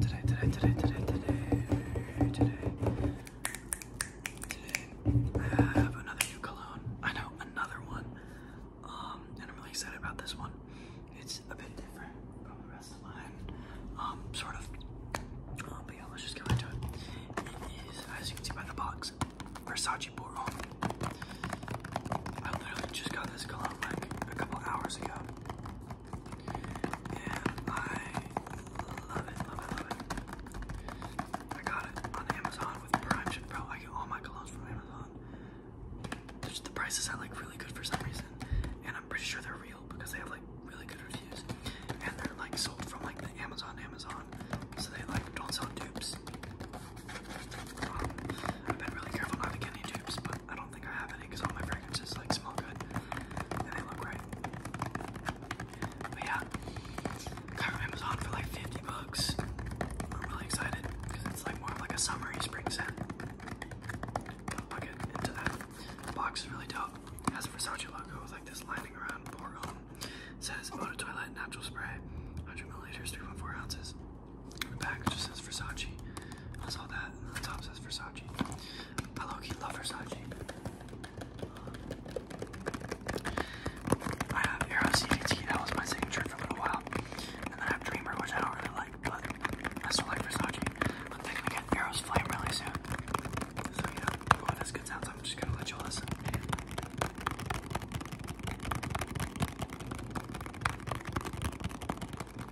today, today, today, today, today, today, today, I have another new cologne. I know, another one. and I'm really excited about this one. It's a bit different from the rest of mine. Um, sort of. but yeah, let's just get into it. It is, as you can see by the box, Versace Bordeaux. I literally just got this cologne like a couple hours ago. And I love it, love it, love it. I got it on Amazon with Prime Bro, I get all my colognes from Amazon. the prices are like really good for some reason. And I'm pretty sure they're real because they have like really good reviews. And they're like sold from like the Amazon Amazon. So they like don't sell dupes. Um, I've been really careful not to get any dupes, but I don't think I have any because all my fragrances like smell good and they look right. But yeah, got from Amazon for like 50 bucks. I'm really excited because it's like more of like a summery spring scent. I'll get into that. box is really dope. It has a Versace logo with like this lining around pour on. says Eau de Natural Spray, 100 milliliters, 3.4 ounces. The back just says Versace. I saw that, the top says Versace. I low love Versace. I have Aero CDT, that was my signature for a little while. And then I have Dreamer, which I don't really like, but I still like Versace. I'm thinking we get Aero's Flame really soon. So, you oh, that's good sounds. I'm just gonna let you listen. Okay,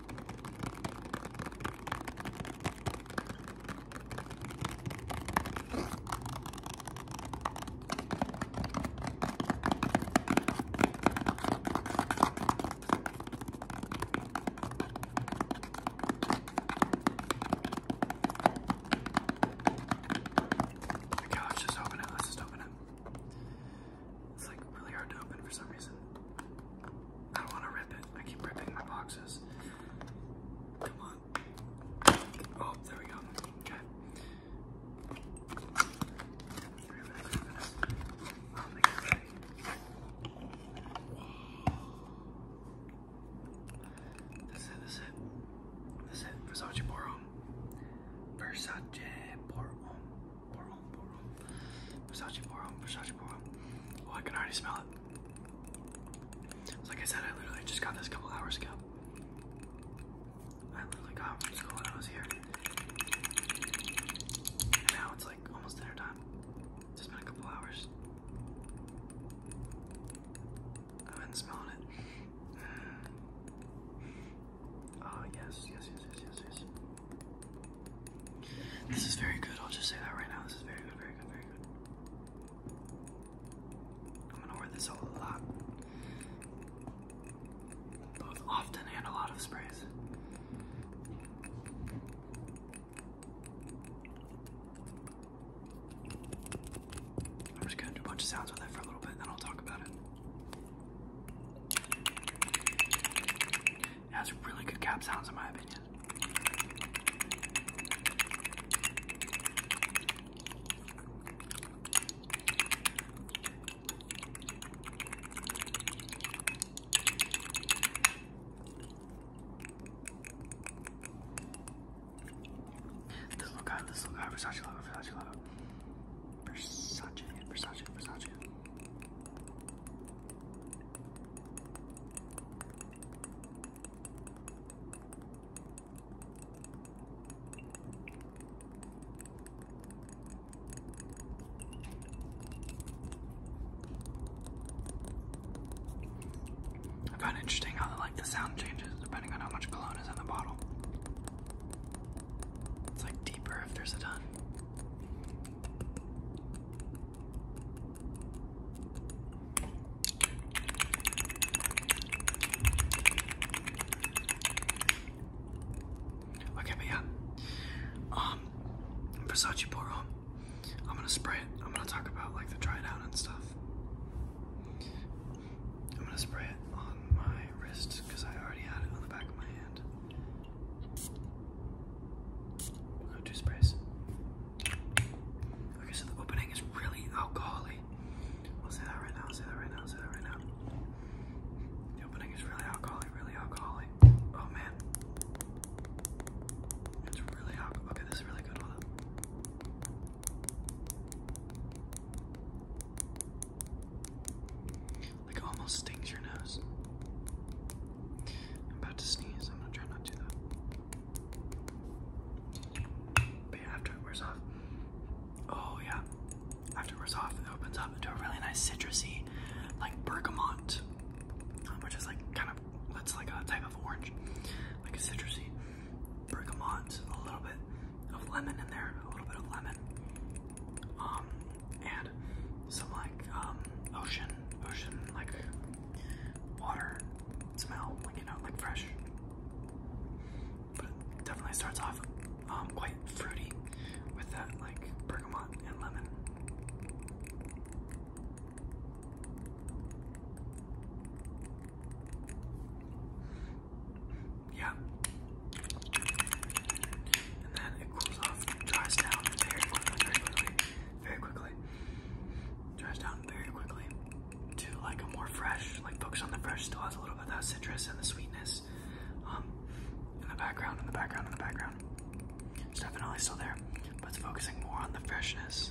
let's just open it. Let's just open it. It's like really hard to open for some reason. I don't want to rip it. I keep ripping my boxes. Oh, there we go. Okay. This it, this it. This it. Versace Borum. Versace Borum. Boron, boron. Versace boron, Versace boron. Oh, I can already smell it. Like I said, I literally just got this a couple hours ago. I literally got it from school when I was here. And now it's like almost dinner time. It's just been a couple hours. I've been it. Ah, yes, yes, yes, yes, yes, yes. This is very good. I'll just say that right now. This is very good, very good, very good. I'm gonna wear this a lot, both often and a lot of sprays. I'm just gonna do a bunch of sounds with it for a little bit, and I'll talk about it. It has really good cap sounds in my opinion. This little guy, this little guy, Versace logo, Versace logo. Versace, Versace, Versace. I found it interesting how like the sound changes depending on how much cologne is in the bottle. It's like deeper if there's a ton. Okay, but yeah. Um Versace Poro. I'm gonna spray it. I'm gonna talk about like the dry down and stuff. I'm gonna spray it on my wrist because I already had it on the back of my hand. We'll go two sprays. Okay, so the opening is really alcoholic. I'll say that right now, I'll say that right now, I'll say that right now. The opening is really alcoholic, really alcoholic. Oh man. It's really Okay, this is really good. Like almost stings your nose. I'm about to sneeze. I'm gonna try not to do that. after it wears off, oh yeah, after it wears off, it opens up into a really nice citrusy, like bergamot, which is like kind of that's like a type of orange, like a citrusy bergamot, a little bit of lemon in there, a little bit of lemon, um, and some like um, ocean, ocean like water smell, like you know, like fresh. But definitely starts off um, quite fruity with that like bergamot and lemon. Yeah. And then it cools off, dries down very quickly, very quickly, very quickly. Dries down very quickly to like a more fresh, like focus on the fresh, still has a little bit of that citrus and the sweetness um, in the background, in the background, in the background. It's definitely still there, but it's focusing more on the freshness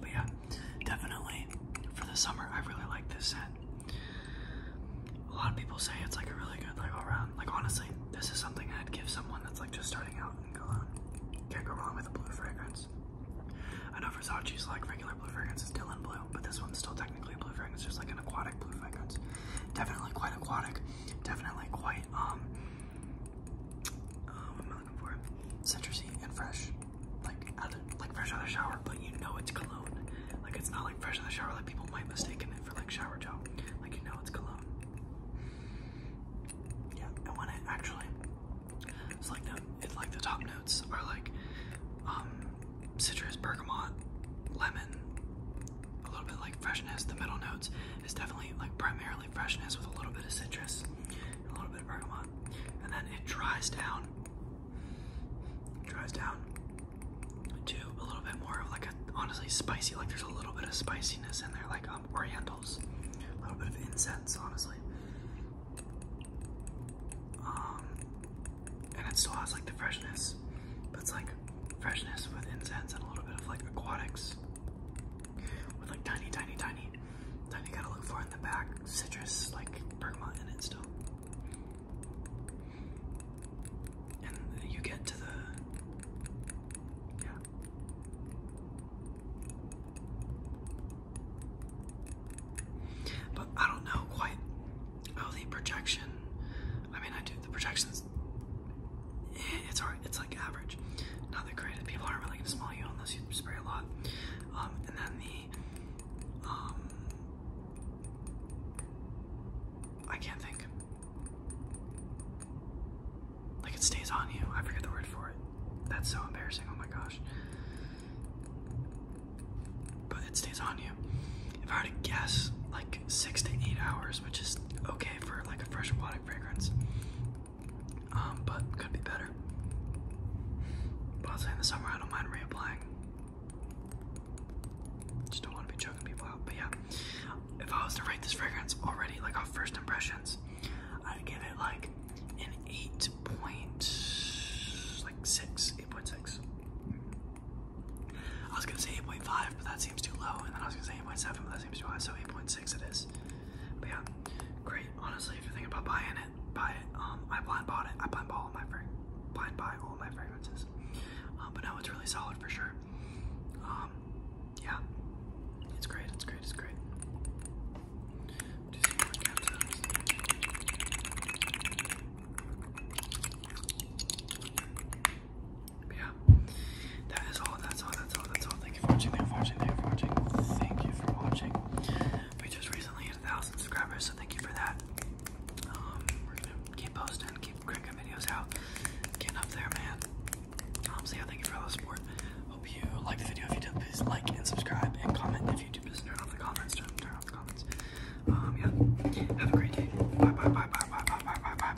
But yeah, definitely for the summer, I really like this set. A lot of people say it's like a really good like all around. Like honestly, this is something I'd give someone that's like just starting out in cologne. Can't go wrong with a blue fragrance. I know Versace's like regular blue fragrance is Dylan blue, but this one's still technically blue fragrance, just like an aquatic blue fragrance. Definitely quite aquatic. Definitely quite um um, what am looking for? Citrusy and fresh, like out like fresh out of the shower, but you know it's cologne. Like it's not like fresh out of the shower, like people might mistake it for like shower gel. Like you know it's cologne. Yeah, I want it actually, it's like no, it's like the top notes are like um, citrus, bergamot, lemon, a little bit like freshness. The middle notes is definitely like primarily freshness with a little bit of citrus and a little bit of bergamot. And then it dries down. It dries down to a little bit more of like honestly spicy, like there's a little bit of spiciness in there, like um orientals. A little bit of incense, honestly. Um, and it still has like the freshness, but it's like freshness with incense and a little bit of like aquatics with like tiny, tiny, tiny meat. Then you gotta look for in the back citrus, like bergamot in it still. And you get to the. Yeah. But I don't know quite how the projection. I mean, I do. The projections. It's hard it's like average. Not that great. People aren't really gonna smell you unless you spray a lot. Um, and then the um, I can't think. Like it stays on you. I forget the word for it. That's so embarrassing. Oh my gosh. But it stays on you. If I had to guess, like six to eight hours, which is okay for like a fresh aquatic fragrance um, but could be better. Possibly in the summer, I don't mind reapplying. Just don't want to be choking people out. But yeah, if I was to rate this fragrance already, like off first impressions, I'd give it like an eight point, like six, eight point six. I was gonna say eight point five, but that seems too low, and then I was gonna say eight point seven, but that seems too high. So eight point six six it is. But yeah, great. Honestly, if you're thinking about buying it, buy it. Um, I blind bought it. I blind bought all my frag blind buy all my fragrances. Um, but now it's really solid for sure. Um, yeah, it's great. It's great. It's great. Just see yeah, that is all. That's all. That's all. That's all. Thank you for watching. Thank you for watching. Thank you for watching. Thank you for watching. We just recently hit a thousand subscribers, so thank you for that. Um, we're gonna keep posting, keep cranking videos out, getting up there, man. Um, thank you for all the support. Hope you like the video. If you did, please like and subscribe and comment. If you do, turn off the comments. Turn, off the comments. Um, yeah. Have a great day. bye bye bye bye bye bye bye bye.